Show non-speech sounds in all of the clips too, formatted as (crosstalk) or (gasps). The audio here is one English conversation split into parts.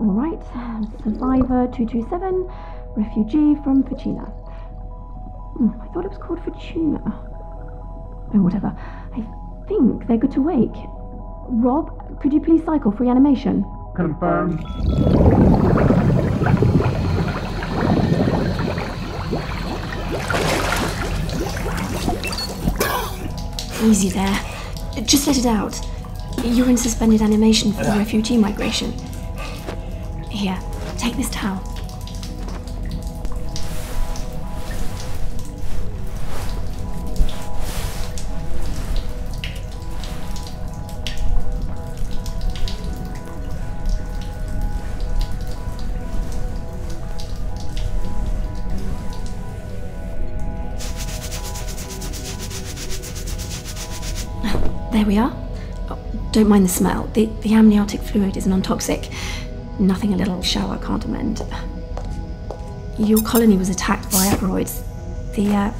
All right, survivor 227, refugee from Fortuna. Hmm, I thought it was called Fortuna. Oh, whatever. I think they're good to wake. Rob, could you please cycle for animation? Confirm. Easy there. Just let it out. You're in suspended animation for the refugee migration. Here, take this towel. (sighs) There we are. Oh, don't mind the smell. The, the amniotic fluid is non toxic. Nothing a little shower can't amend. Your colony was attacked by aberoids. The uh,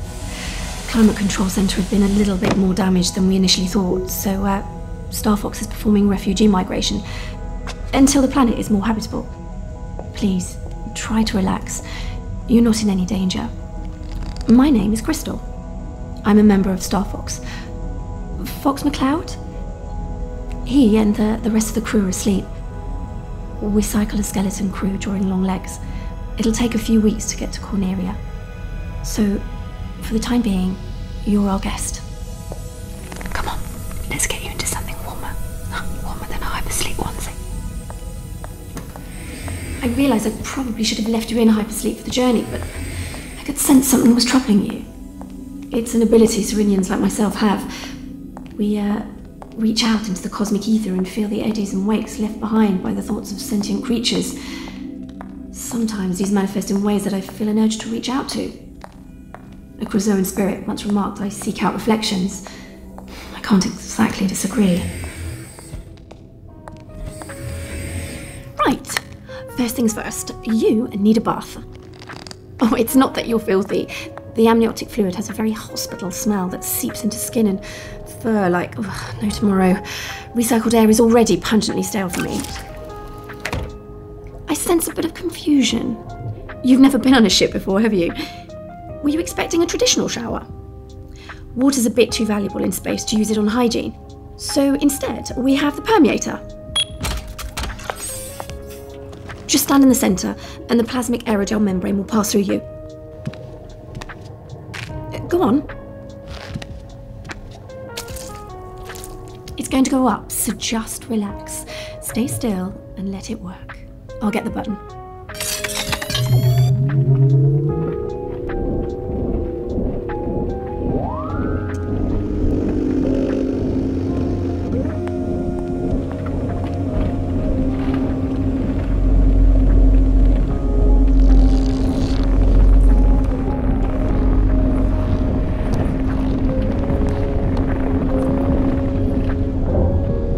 climate control centre has been a little bit more damaged than we initially thought, so uh, Starfox is performing refugee migration until the planet is more habitable. Please, try to relax. You're not in any danger. My name is Crystal. I'm a member of Star Fox. Fox McCloud? He and the, the rest of the crew are asleep. We cycle a skeleton crew during long legs. It'll take a few weeks to get to Corneria. So, for the time being, you're our guest. Come on, let's get you into something warmer. (gasps) Warmer than I've onesie. I realize I probably should have left you in hypersleep for the journey, but I could sense something was troubling you. It's an ability Serenians like myself have. We uh, reach out into the cosmic ether and feel the eddies and wakes left behind by the thoughts of sentient creatures. Sometimes these manifest in ways that I feel an urge to reach out to. A Crozoan spirit once remarked I seek out reflections, I can't exactly disagree. Right. First things first, you need a bath. Oh, it's not that you're filthy. The amniotic fluid has a very hospital smell that seeps into skin and fur like oh, no tomorrow. Recycled air is already pungently stale for me. I sense a bit of confusion. You've never been on a ship before, have you? Were you expecting a traditional shower? Water's a bit too valuable in space to use it on hygiene. So instead, we have the permeator. Just stand in the centre, and the plasmic aerogel membrane will pass through you. Uh, go on. It's going to go up, so just relax. Stay still and let it work. I'll get the button.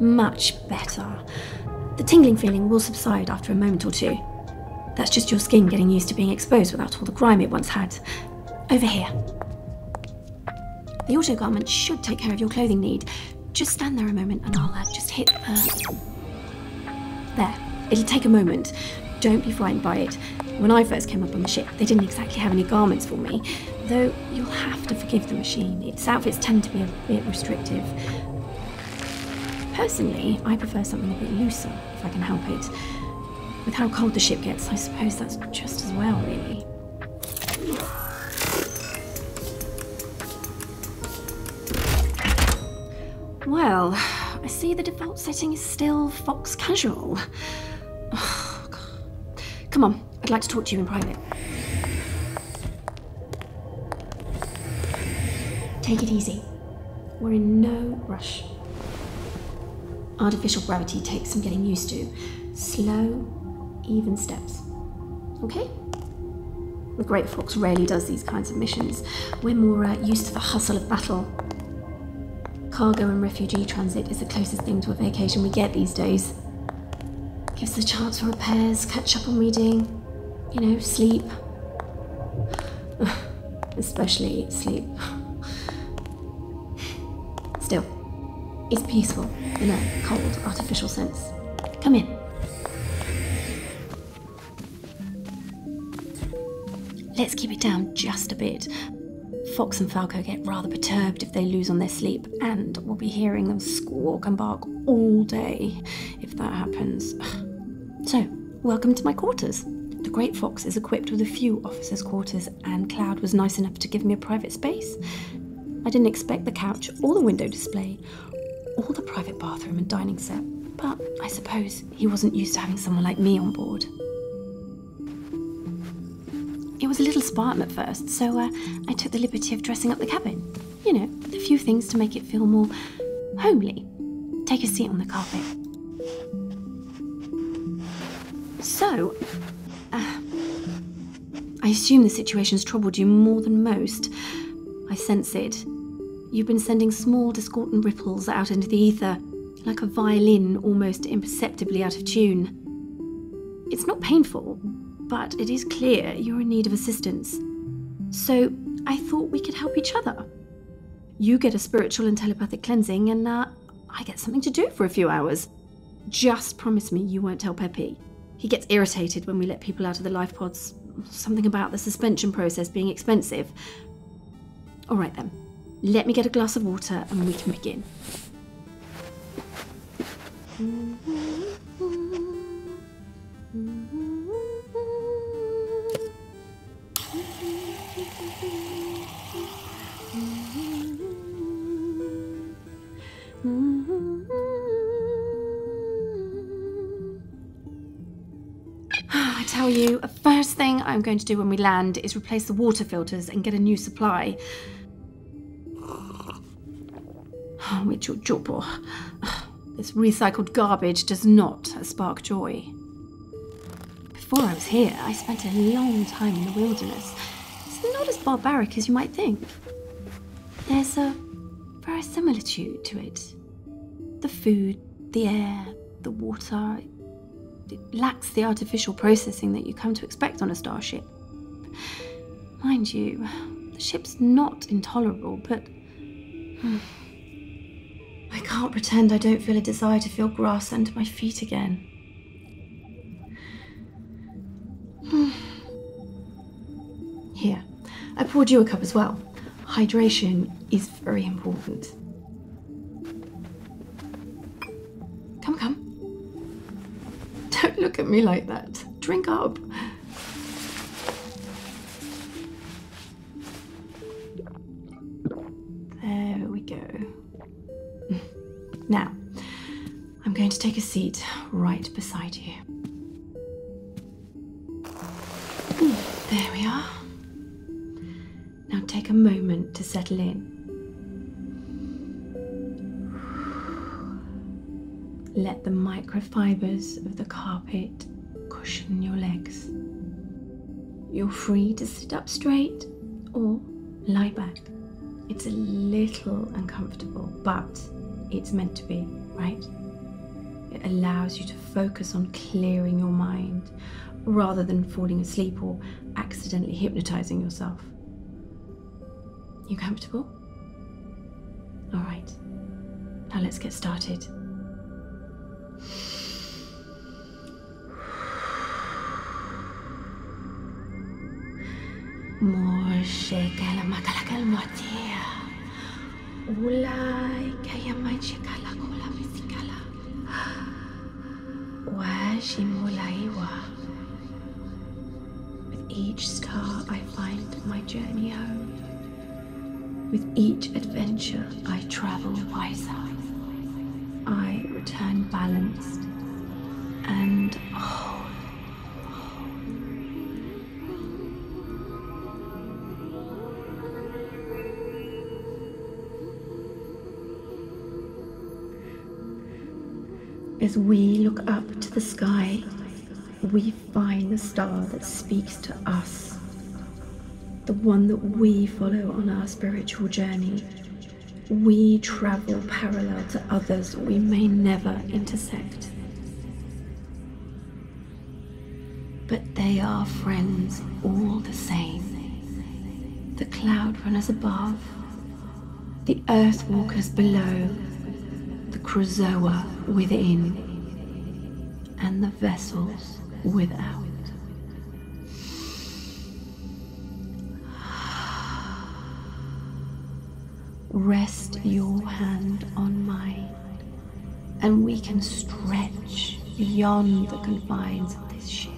Much better. The tingling feeling will subside after a moment or two. That's just your skin getting used to being exposed without all the grime it once had. Over here. The auto garment should take care of your clothing need. Just stand there a moment and I'll uh, just hit the... There, it'll take a moment. Don't be frightened by it. When I first came up on the ship, they didn't exactly have any garments for me. Though you'll have to forgive the machine. Its outfits tend to be a bit restrictive. Personally, I prefer something a bit looser, if I can help it. With how cold the ship gets, I suppose that's just as well, really. Well, I see the default setting is still Fox Casual. Come on, I'd like to talk to you in private. Take it easy. We're in no rush. Artificial gravity takes some getting used to. Slow, even steps. Okay? The Great Fox rarely does these kinds of missions. We're more uh, used to the hustle of battle. Cargo and refugee transit is the closest thing to a vacation we get these days. Gives us a chance for repairs, catch up on reading, you know, sleep. (sighs) Especially sleep. (sighs) Still, it's peaceful in a cold, artificial sense. Come in. Let's keep it down just a bit. Fox and Falco get rather perturbed if they lose on their sleep, and we'll be hearing them squawk and bark all day if that happens. (sighs) So, welcome to my quarters. The Great Fox is equipped with a few officers' quarters, and Cloud was nice enough to give me a private space. I didn't expect the couch or the window display all the private bathroom and dining set, but I suppose he wasn't used to having someone like me on board. It was a little spartan at first, so uh, I took the liberty of dressing up the cabin. You know, a few things to make it feel more homely. Take a seat on the carpet. So, uh, I assume the situation has troubled you more than most. I sense it. You've been sending small, discordant ripples out into the ether, like a violin almost imperceptibly out of tune. It's not painful, but it is clear you're in need of assistance. So I thought we could help each other. You get a spiritual and telepathic cleansing, and uh, I get something to do for a few hours. Just promise me you won't tell Pepe. He gets irritated when we let people out of the life pods something about the suspension process being expensive. All right then, let me get a glass of water and we can begin. (sighs) I tell you, the first thing I'm going to do when we land is replace the water filters and get a new supply. (sighs) Oh, Mitchell Jopo. Oh. (sighs) This recycled garbage does not spark joy. Before I was here, I spent a long time in the wilderness. It's not as barbaric as you might think. There's a verisimilitude to it. The food, the air, the water, it lacks the artificial processing that you come to expect on a starship. Mind you, the ship's not intolerable, but. Hmm, I can't pretend I don't feel a desire to feel grass under my feet again. (sighs) Here, I poured you a cup as well. Hydration is very important. Come, come. Don't look at me like that. Drink up. There we go. (laughs) Now, I'm going to take a seat right beside you. There we are. Now take a moment to settle in. Let the microfibers of the carpet cushion your legs. You're free to sit up straight or lie back. It's a little uncomfortable, but it's meant to be, right? It allows you to focus on clearing your mind rather than falling asleep or accidentally hypnotizing yourself. You comfortable? All right, now let's get started. With each star I find my journey home. With each adventure I travel wiser. I return balanced and whole. As we look up to the sky, we find the star that speaks to us, the one that we follow on our spiritual journey. We travel parallel to others we may never intersect. But they are friends all the same. The cloud runners above, the earth walkers below, the Krazoa within, and the vessels without. (sighs) Rest your hand on mine and we can stretch beyond the confines of this ship.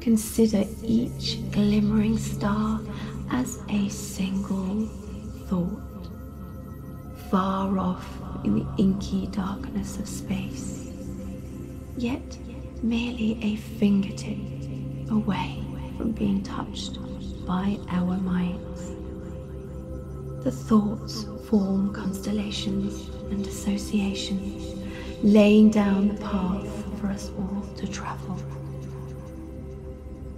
Consider each glimmering star as a single thought, far off in the inky darkness of space, yet merely a fingertip away from being touched by our minds. The thoughts form constellations and associations, laying down the path for us all to travel.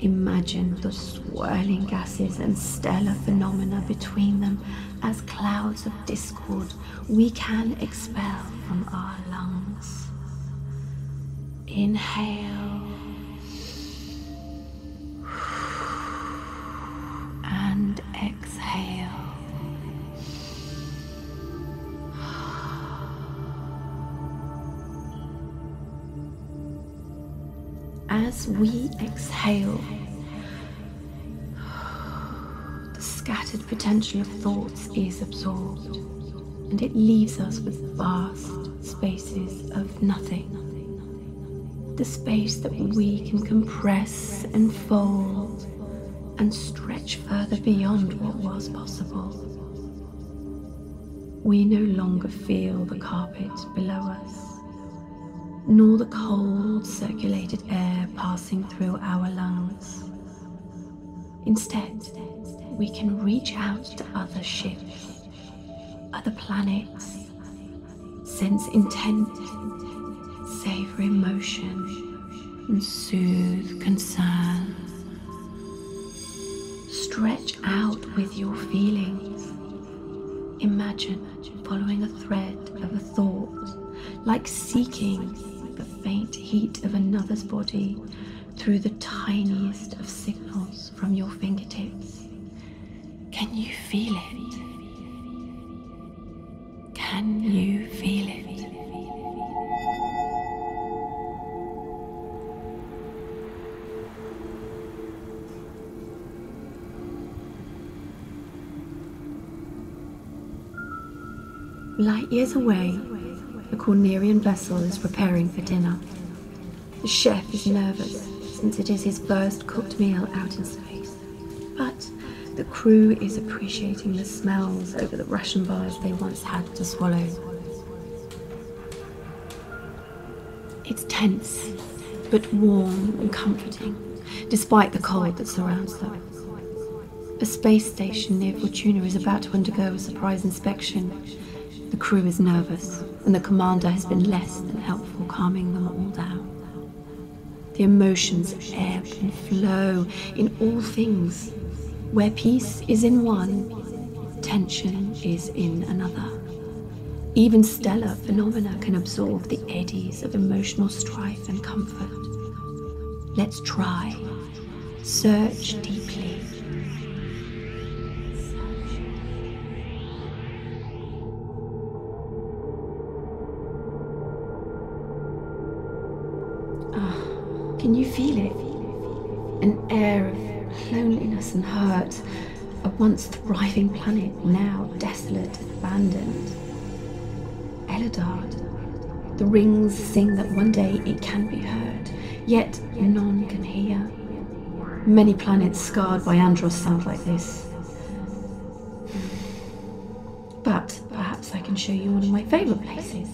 Imagine the swirling gases and stellar phenomena between them as clouds of discord we can expel from our lungs. Inhale and exhale. As we exhale, the scattered potential of thoughts is absorbed and it leaves us with vast spaces of nothing the space that we can compress and fold and stretch further beyond what was possible. We no longer feel the carpet below us, nor the cold circulated air passing through our lungs. Instead, we can reach out to other ships other planets, sense intent, savor emotion, and soothe concern. Stretch out with your feelings. Imagine following a thread of a thought, like seeking the faint heat of another's body through the tiniest of signals from your fingertips can you feel it? Can you feel it? Light years away, the Cornerian vessel is preparing for dinner. The chef is nervous since it is his first cooked meal out in space. But the crew is appreciating the smells over the Russian bars they once had to swallow. It's tense, but warm and comforting, despite the cold that surrounds them. A space station near Fortuna is about to undergo a surprise inspection, the crew is nervous, and the commander has been less than helpful calming them all down. The emotions ebb and flow in all things. Where peace is in one, tension is in another. Even stellar phenomena can absorb the eddies of emotional strife and comfort. Let's try. Search deeply. Ah, can you feel it? An air of loneliness and hurt. A once thriving planet, now desolate and abandoned. Elidard. The rings sing that one day it can be heard, yet none can hear. Many planets scarred by Andros sound like this. But perhaps I can show you one of my favourite places.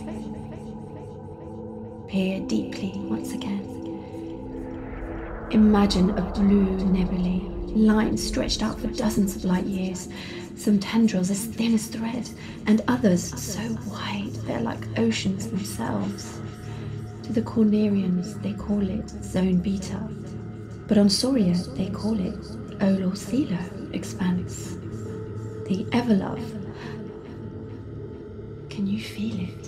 Peer deeply once again. Imagine a blue nebulae, lines stretched out for dozens of light years, some tendrils as thin as thread, and others so wide they're like oceans themselves. To the Cornerians, they call it Zone Beta, but on Soria, they call it Olosilo Expanse, the Everlove. Can you feel it?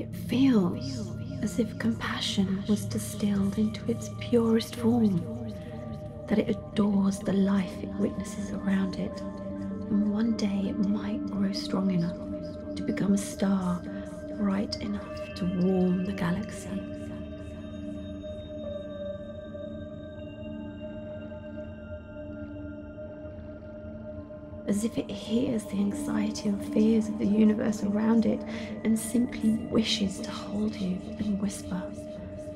It feels as if compassion was distilled into its purest form, that it adores the life it witnesses around it, and one day it might grow strong enough to become a star bright enough to warm the galaxy. As if it hears the anxiety and fears of the universe around it and simply wishes to hold you and whisper,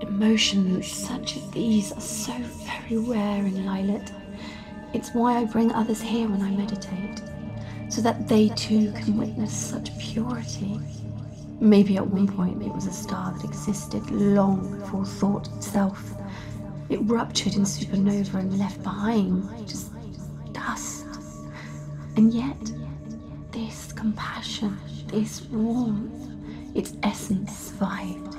Emotions such as these are so very rare in Lilith. It's why I bring others here when I meditate, so that they too can witness such purity. Maybe at one point it was a star that existed long before thought itself. It ruptured in supernova and left behind just dust. And yet, this compassion, this warmth, its essence survived,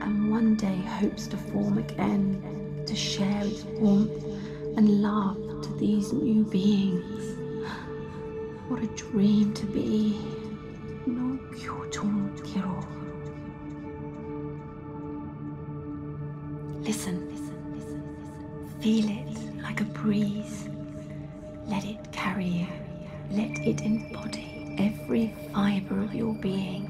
and one day hopes to form again to share its warmth and love to these new beings. What a dream to be. No Kyochon Kiro. Listen, listen, listen, listen. Feel it like a breeze let it carry you. Let it embody every fiber of your being.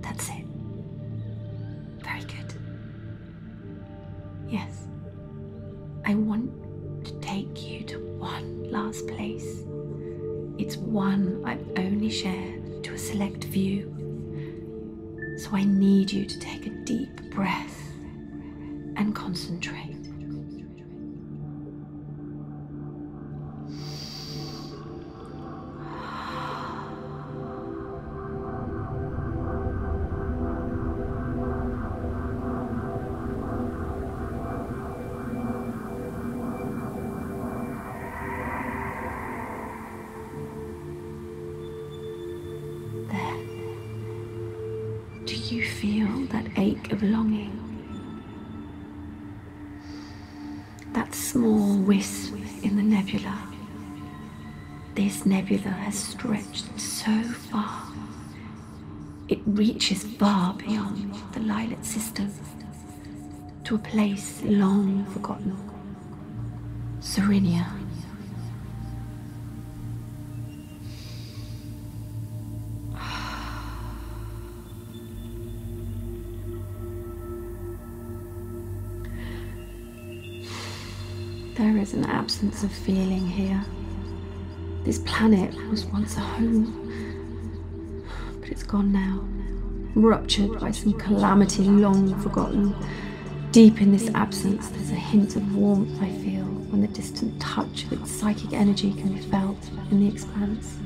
That's it. Very good. Yes. I want to take you to one last place. It's one I've only shared to a select few. So I need you to take a deep deep breath and concentrate. There. Do you feel that ache of longing? That small wisp in the nebula. This nebula has stretched so far. It reaches far beyond the Lilac system to a place long forgotten Serenia. There is an absence of feeling here. This planet was once a home, but it's gone now, ruptured by some calamity long forgotten. Deep in this absence, there's a hint of warmth I feel when the distant touch of its psychic energy can be felt in the expanse.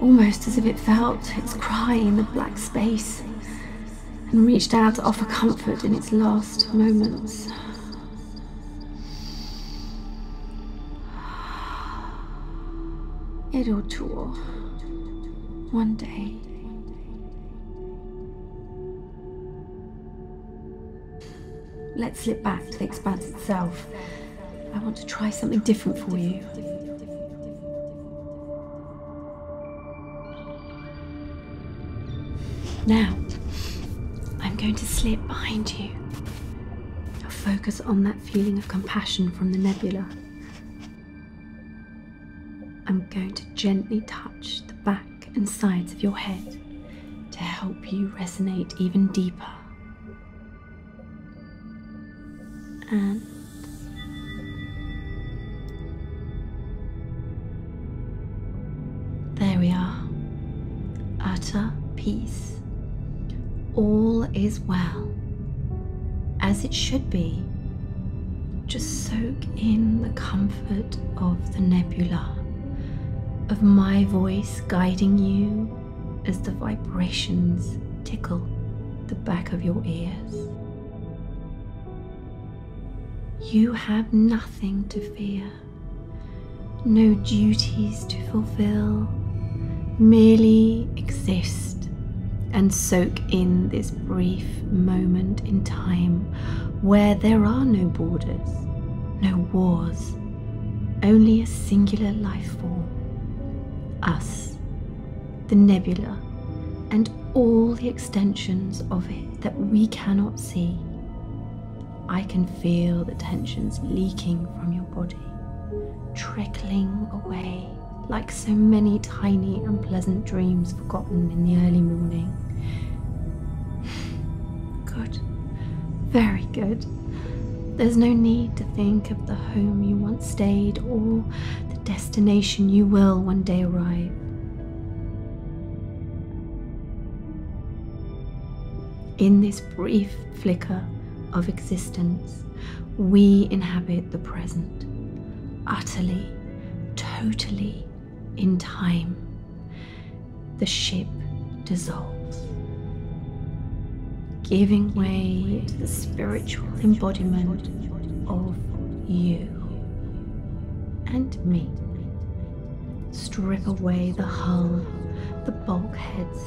Almost as if it felt its cry in the black space and reached out to offer comfort in its last moments. It'll (sighs) tour one day. Let's slip back to the expanse itself. I want to try something different for you. Now, I'm going to slip behind you. i focus on that feeling of compassion from the nebula. I'm going to gently touch the back and sides of your head to help you resonate even deeper. And there we are. Utter peace. All is well as it should be. Just soak in the comfort of the nebula, of my voice guiding you as the vibrations tickle the back of your ears. You have nothing to fear, no duties to fulfill, merely exist and soak in this brief moment in time where there are no borders, no wars, only a singular life form us, the nebula, and all the extensions of it that we cannot see. I can feel the tensions leaking from your body, trickling away like so many tiny unpleasant dreams forgotten in the early morning. Good, very good. There's no need to think of the home you once stayed or the destination you will one day arrive. In this brief flicker of existence, we inhabit the present, utterly, totally in time. The ship dissolves, giving way to the spiritual embodiment of you and me. Strip away the hull, the bulkheads,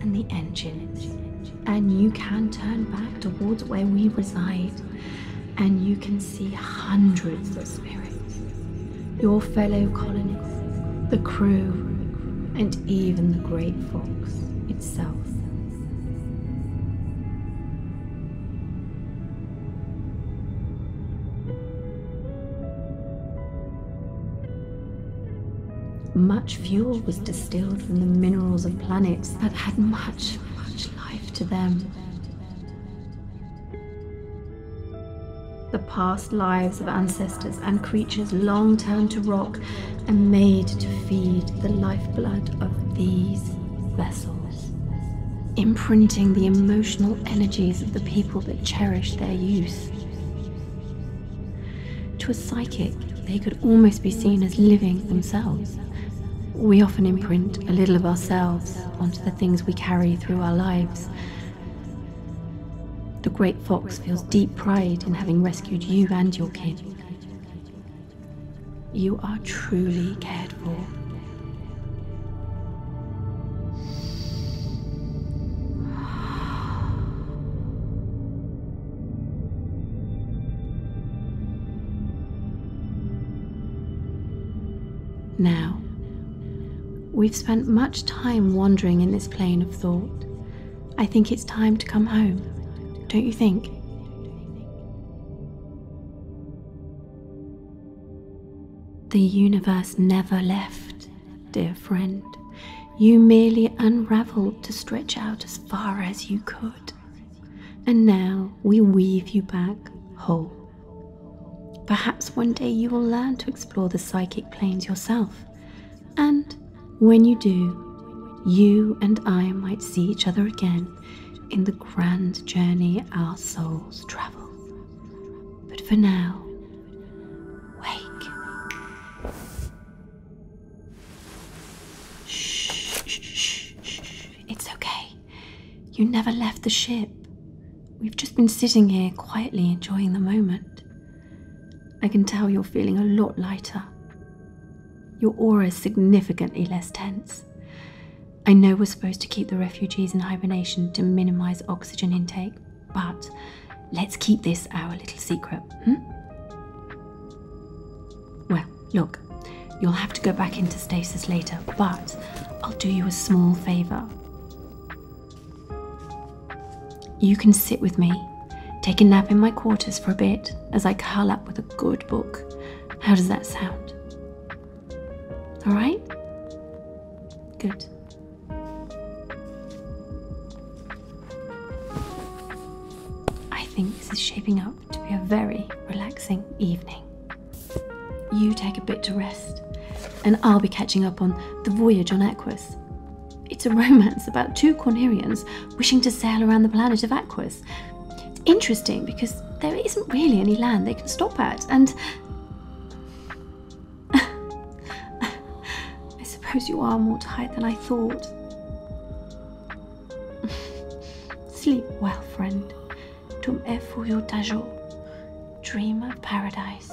and the engine and you can turn back towards where we reside and you can see hundreds of spirits your fellow colonists, the crew, and even the great fox itself. Much fuel was distilled from the minerals of planets that had much much, much life to them. The past lives of ancestors and creatures long turned to rock and made to feed the lifeblood of these vessels, imprinting the emotional energies of the people that cherish their use. To a psychic, they could almost be seen as living themselves. We often imprint a little of ourselves onto the things we carry through our lives. The great fox feels deep pride in having rescued you and your kid. You are truly cared for. Now, we've spent much time wandering in this plane of thought. I think it's time to come home, don't you think? The universe never left, dear friend. You merely unraveled to stretch out as far as you could and now we weave you back whole. Perhaps one day you will learn to explore the psychic planes yourself, and when you do, you and I might see each other again in the grand journey our souls travel. But for now, wake. Shh, shh, shh, It's okay. You never left the ship. We've just been sitting here quietly enjoying the moment. I can tell you're feeling a lot lighter. Your aura is significantly less tense. I know we're supposed to keep the refugees in hibernation to minimize oxygen intake, but let's keep this our little secret. Hmm? Well, look, you'll have to go back into stasis later, but I'll do you a small favour. You can sit with me, take a nap in my quarters for a bit as I curl up with a good book. How does that sound? Alright? Good. I think this is shaping up to be a very relaxing evening. You take a bit to rest, and I'll be catching up on The Voyage on Aquas. It's a (laughs) romance about two Cornerians wishing to sail around the planet of Aquas. It's interesting because there isn't really any land they can stop at, and (laughs) I suppose you are more tired than I thought. (laughs) Sleep well, friend. To e fuyu tajo. Dream of paradise.